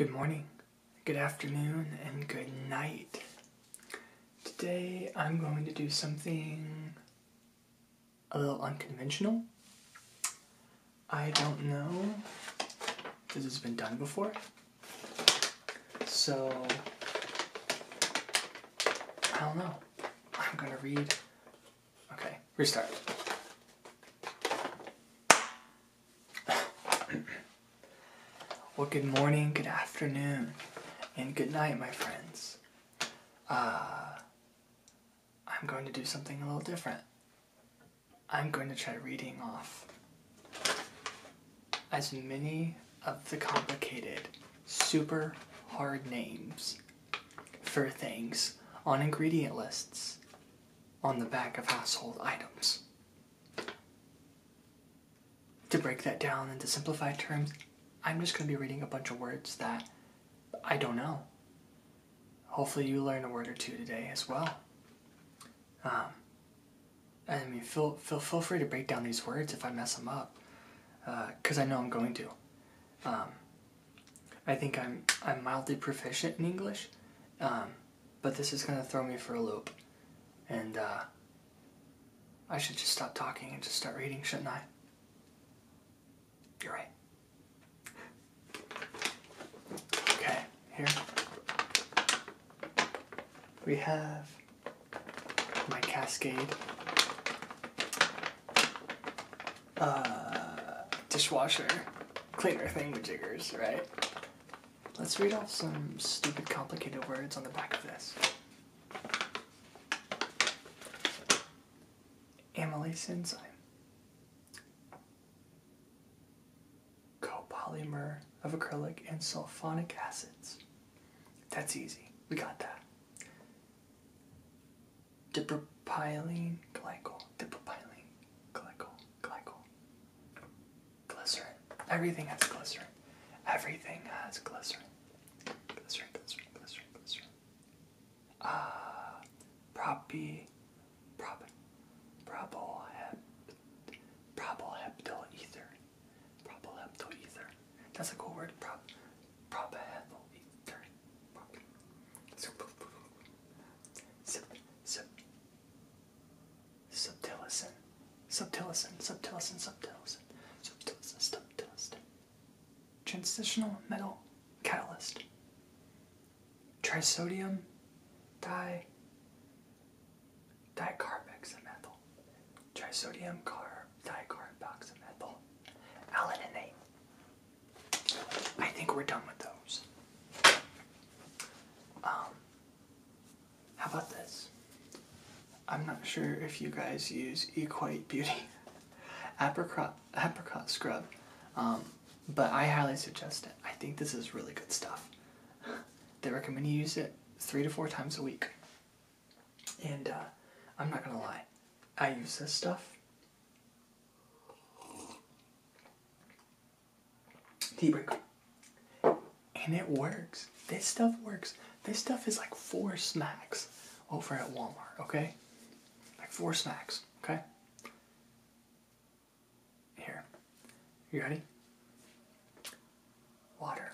Good morning, good afternoon, and good night. Today I'm going to do something a little unconventional. I don't know if this has been done before. So, I don't know. I'm gonna read Okay, restart. well, good morning, good afternoon, and good night, my friends. Uh, I'm going to do something a little different. I'm going to try reading off as many of the complicated, super hard names for things on ingredient lists on the back of household items. To break that down into simplified terms, I'm just going to be reading a bunch of words that I don't know. Hopefully, you learn a word or two today as well. Um, I mean, feel, feel, feel free to break down these words if I mess them up, because uh, I know I'm going to. Um, I think I'm I'm mildly proficient in English, um, but this is gonna throw me for a loop, and uh, I should just stop talking and just start reading, shouldn't I? You're right. Okay, here we have my Cascade uh, dishwasher cleaner jiggers, right? Let's read off some stupid, complicated words on the back of this. Amylase enzyme. Copolymer of acrylic and sulfonic acids. That's easy. We got that dipropylene glycol, dipropylene glycol, glycol, glycerin. Everything has glycerin. Everything has glycerin. Glycerin, glycerin, glycerin, glycerin. Ah, uh, propyl, hep, propyl ether, propyl ether. That's a cool word. Prop, prop ahead. Turn. Sub, sub, sub, subtilicin, subtilicin, subtilicin, subtilicin, subtilicin, subtilicin. Transitional metal catalyst. Trisodium di dicarboxymethyl. Trisodium car Tiger, Alan and Nate. I think we're done with those. Um, how about this? I'm not sure if you guys use Equate Beauty apricot, apricot scrub, um, but I highly suggest it. I think this is really good stuff. They recommend you use it three to four times a week. And uh, I'm not gonna lie, I use this stuff. Tea break. And it works. This stuff works. This stuff is like four snacks over at Walmart, okay? Like four snacks, okay? Here. You ready? Water.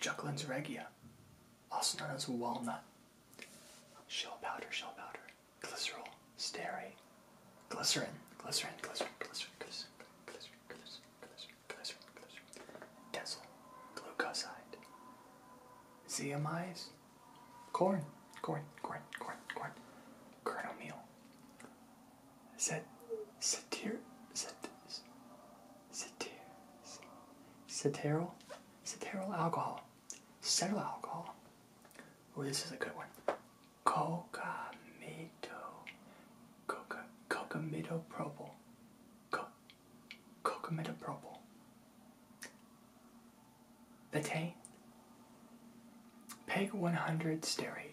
Juglans regia, also known as walnut, shell powder, shell powder, glycerol, stearate, glycerin, glycerin, glycerin, glycerin, glycerin, glycerin, glycerin, glycerin, glycerin, glycerin, densil, glucoside, zeamides, corn, corn, corn, corn, corn, kernel meal, said, satir, said, Ceteral? Ceteral alcohol. Ceteral alcohol. Oh, this is a good one. Cocamito. Coca, cocamidopropyl. Co, cocamidopropyl. Betaine. Peg 100 stearate.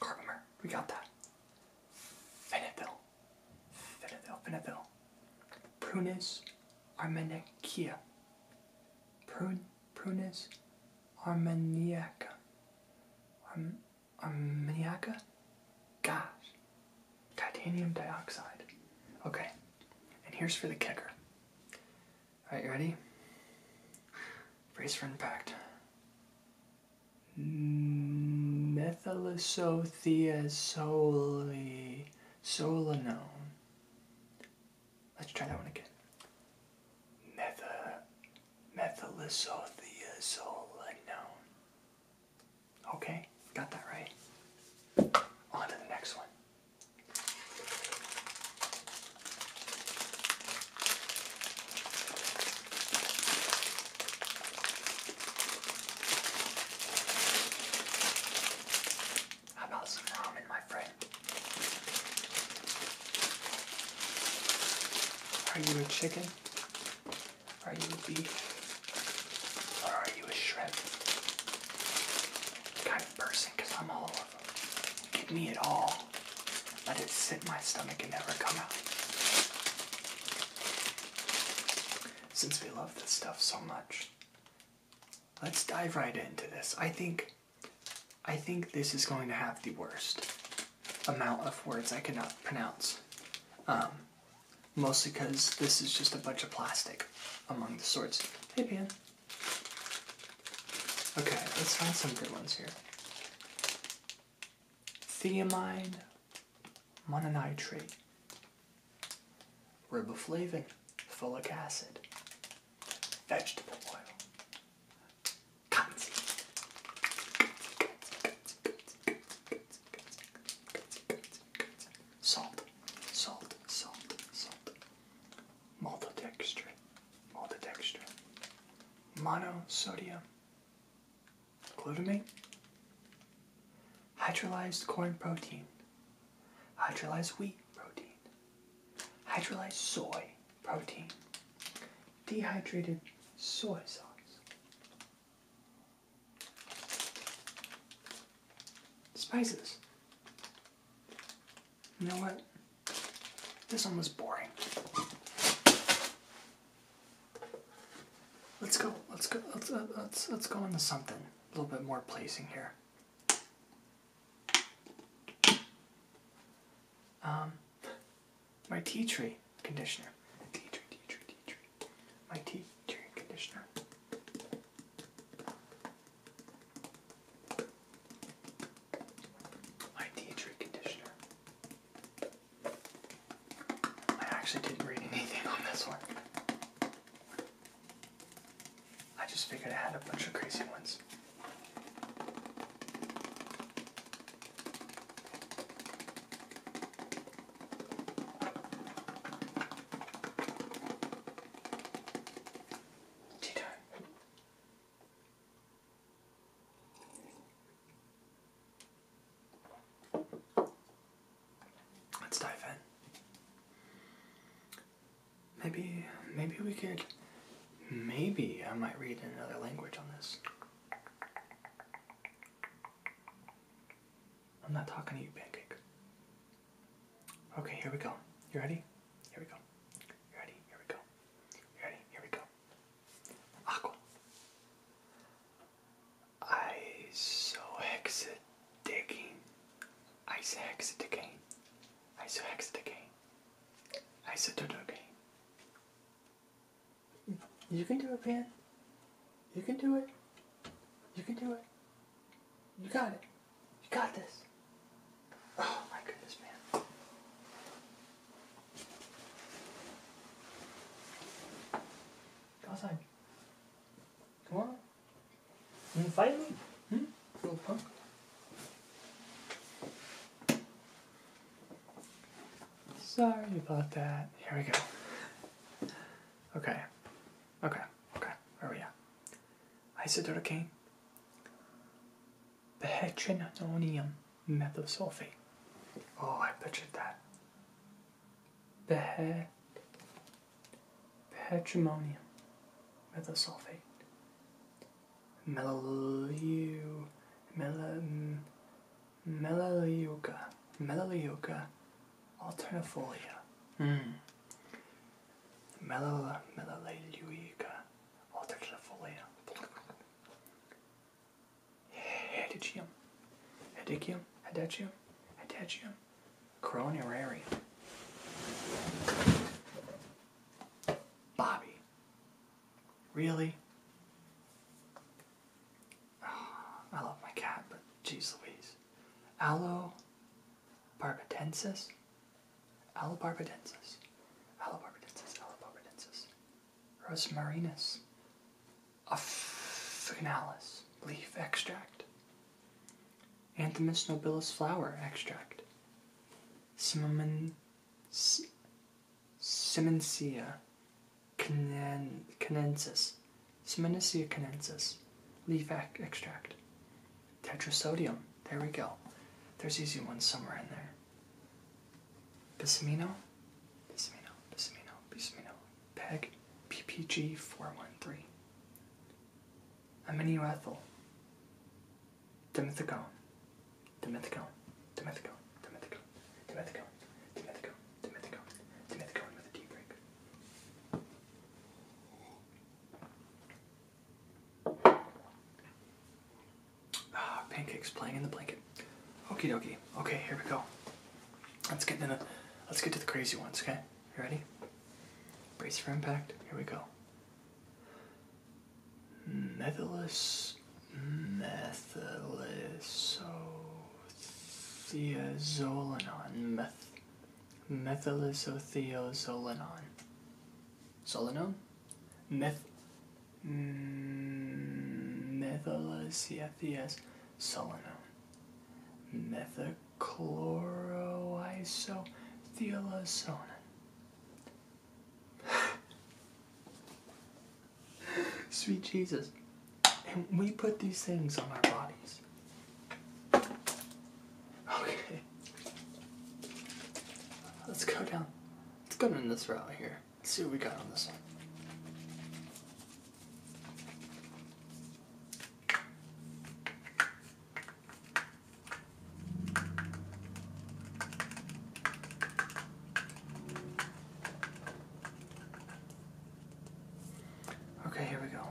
Carbomer, we got that. Fenethil, Fenethil, Fenethil. Prunus armeniaca. Prun, Prunus armeniaca. Arm, armeniaca? Gosh. Titanium dioxide. Okay, and here's for the kicker. Alright, you ready? Brace for impact. Methylisothiazole known. Let's try that one again. Metha, known. Okay, got that right. On to the next one. How about some ramen, my friend? Are you a chicken? Are you a beef? Or are you a shrimp? Kind of person, because I'm all Give me it all. Let it sit in my stomach and never come out. Since we love this stuff so much, let's dive right into this. I think I think this is going to have the worst amount of words I cannot pronounce. Um, mostly because this is just a bunch of plastic among the sorts. Hey, Pan. Okay, let's find some good ones here. Thiamine, mononitrate, riboflavin, folic acid, vegetable oil, Salt, salt, salt, salt maltodextrin, maltodextrin, monosodium glutamate, hydrolyzed corn protein, hydrolyzed wheat protein, hydrolyzed soy protein, dehydrated soy sauce. Spices. You know what? This one was boring. Let's go. Let's go. Let's uh, let's let's go into something a little bit more pleasing here. Um, my tea tree conditioner. Tea tree, tea tree, tea tree. My tea tree conditioner. My tea conditioner. I actually didn't read anything on this one. I just figured I had a bunch of crazy ones. Let's dive in. Maybe, maybe we could, maybe I might read in another language on this. I'm not talking to you, Pancake. Okay, here we go. You ready? Here we go. You ready? Here we go. ready? Here we go. Aqua. Isohexadecane. Isohexadecane. Isohexadecane. Isotodocane. You can do it, Ben. You can do it. You can do it. You got it. You got this. Oh my goodness, man. Go outside. Come on. You gonna fight me? Hmm? Little punk. Sorry about that. Here we go. Okay. Okay. Okay. Where are we at? Isidore King, the hechinonium methosulfate. Oh, I pictured that. The head, the hegemonium methosulfate. Melaleuca, Melal Melaleuca, Melaleuca alternifolia. Mm. Melaleuca altexifolia Hedychium, Hedychium, Hedychium, hedichium Cronuraria. Bobby. Really? Ah, I love my cat, but geez Louise. Aloe Allobarbadensis. Allobarbadensis. Allobarbadensis. Allobarbadensis. Rosmarinus. Officinalis. Leaf extract. Anthemis nobilis flower extract. Cinnamon. Simoncia. Canensis. Seminicea canensis, leaf extract, tetrasodium. There we go. There's easy ones somewhere in there. Bismino, Bismino, Bismino, Bismino, PEG, PPG413, aminoethyl, dimethicone, dimethicone, dimethicone, dimethicone, dimethicone, dimethicone, dimethicone, dimethicone with a D break. Ah, pancakes playing in the blanket. Okie dokie. Okay, here we go. Let's get into, let's get to the crazy ones, okay? You ready? Brace for impact. Here we go. Methylus methylisothiozolinone meth methylisothiozolinone. Zolinone? Meth. Mm, methylisothiozolinone. Sweet Jesus. And we put these things on our bodies. Okay. Let's go down. Let's go down this route here. Let's see what we got on this one. Okay, here we go.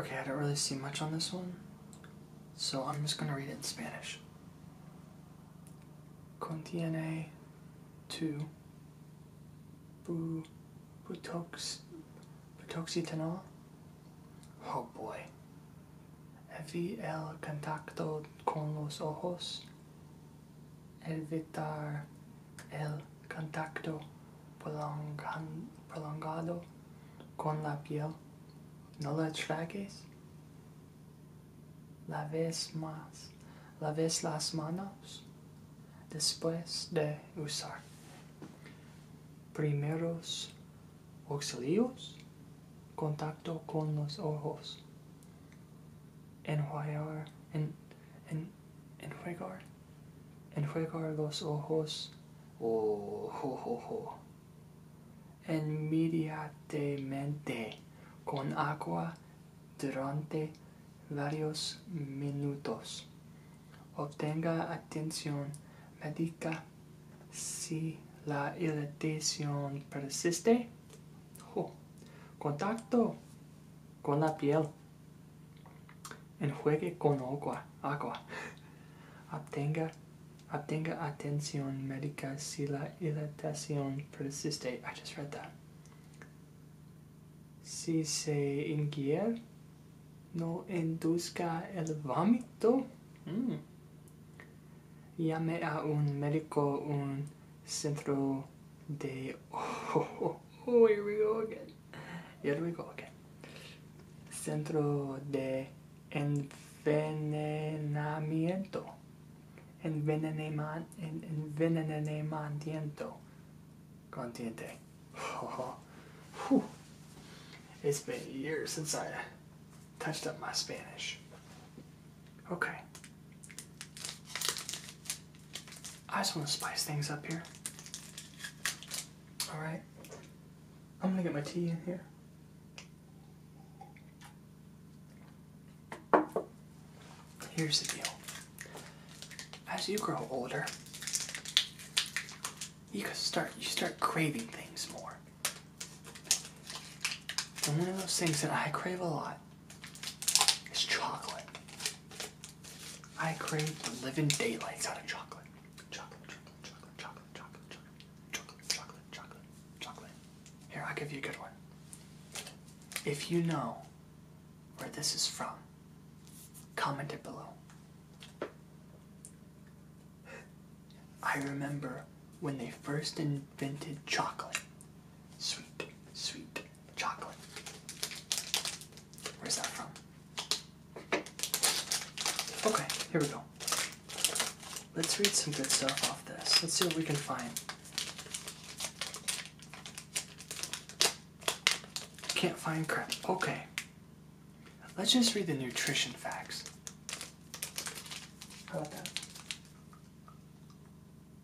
Okay, I don't really see much on this one, so I'm just going to read it in Spanish. Contiene two bu, butox, butoxetanol. Oh boy. Evite el contacto con los ojos. evitar el contacto prolongado con la piel. No la tragues. Laves más. Laves las manos después de usar. Primeros auxilios. Contacto con los ojos. Enjuagar. en, enjuagar Enjuaga los ojos, oh, oh, oh, oh, inmediatamente con agua durante varios minutos. Obtenga atención médica si la irritación persiste. Contacto con la piel. Enjuegue con agua. agua. Obtenga, obtenga atención médica si la irritación persiste. I just read that. Si se ingiere, no induzca el vómito. Mm. Llame a un médico, un Centro de. Oh, oh, oh, here we go again. Here we go again. Centro de Envenenamiento. Envenenamiento. Envenenamiento. Contiente. oh. It's been years since I touched up my Spanish. Okay. I just want to spice things up here. Alright. I'm going to get my tea in here. Here's the deal. As you grow older, you start you start craving things more. one of those things that I crave a lot it's chocolate. I crave the living daylights out of Chocolate, chocolate, chocolate, chocolate, chocolate, chocolate, chocolate, chocolate, chocolate, chocolate. Here, I'll give you a good one. If you know where this is from, comment it below. I remember when they first invented chocolate. Sweet, sweet, Chocolate. Where's that from? Okay, here we go. Let's read some good stuff off this. Let's see what we can find. Can't find crap. Okay. Let's just read the nutrition facts. How about that?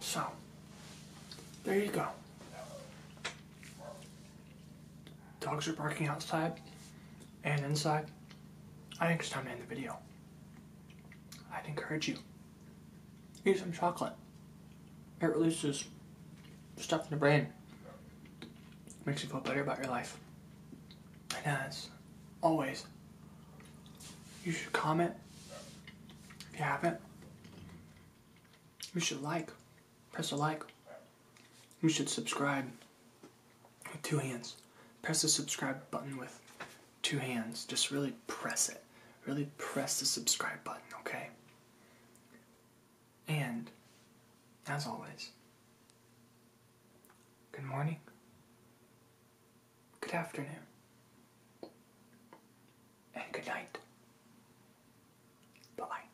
So, there you go. Dogs are barking outside and inside. I think it's time to end the video. I'd encourage you Eat some chocolate. It releases stuff in the brain. makes you feel better about your life. And as always, you should comment if you haven't. You should like. Press a like. You should subscribe with two hands. Press the subscribe button with two hands. Just really press it. Really press the subscribe button, okay? And, as always, good morning, good afternoon, and good night. Bye.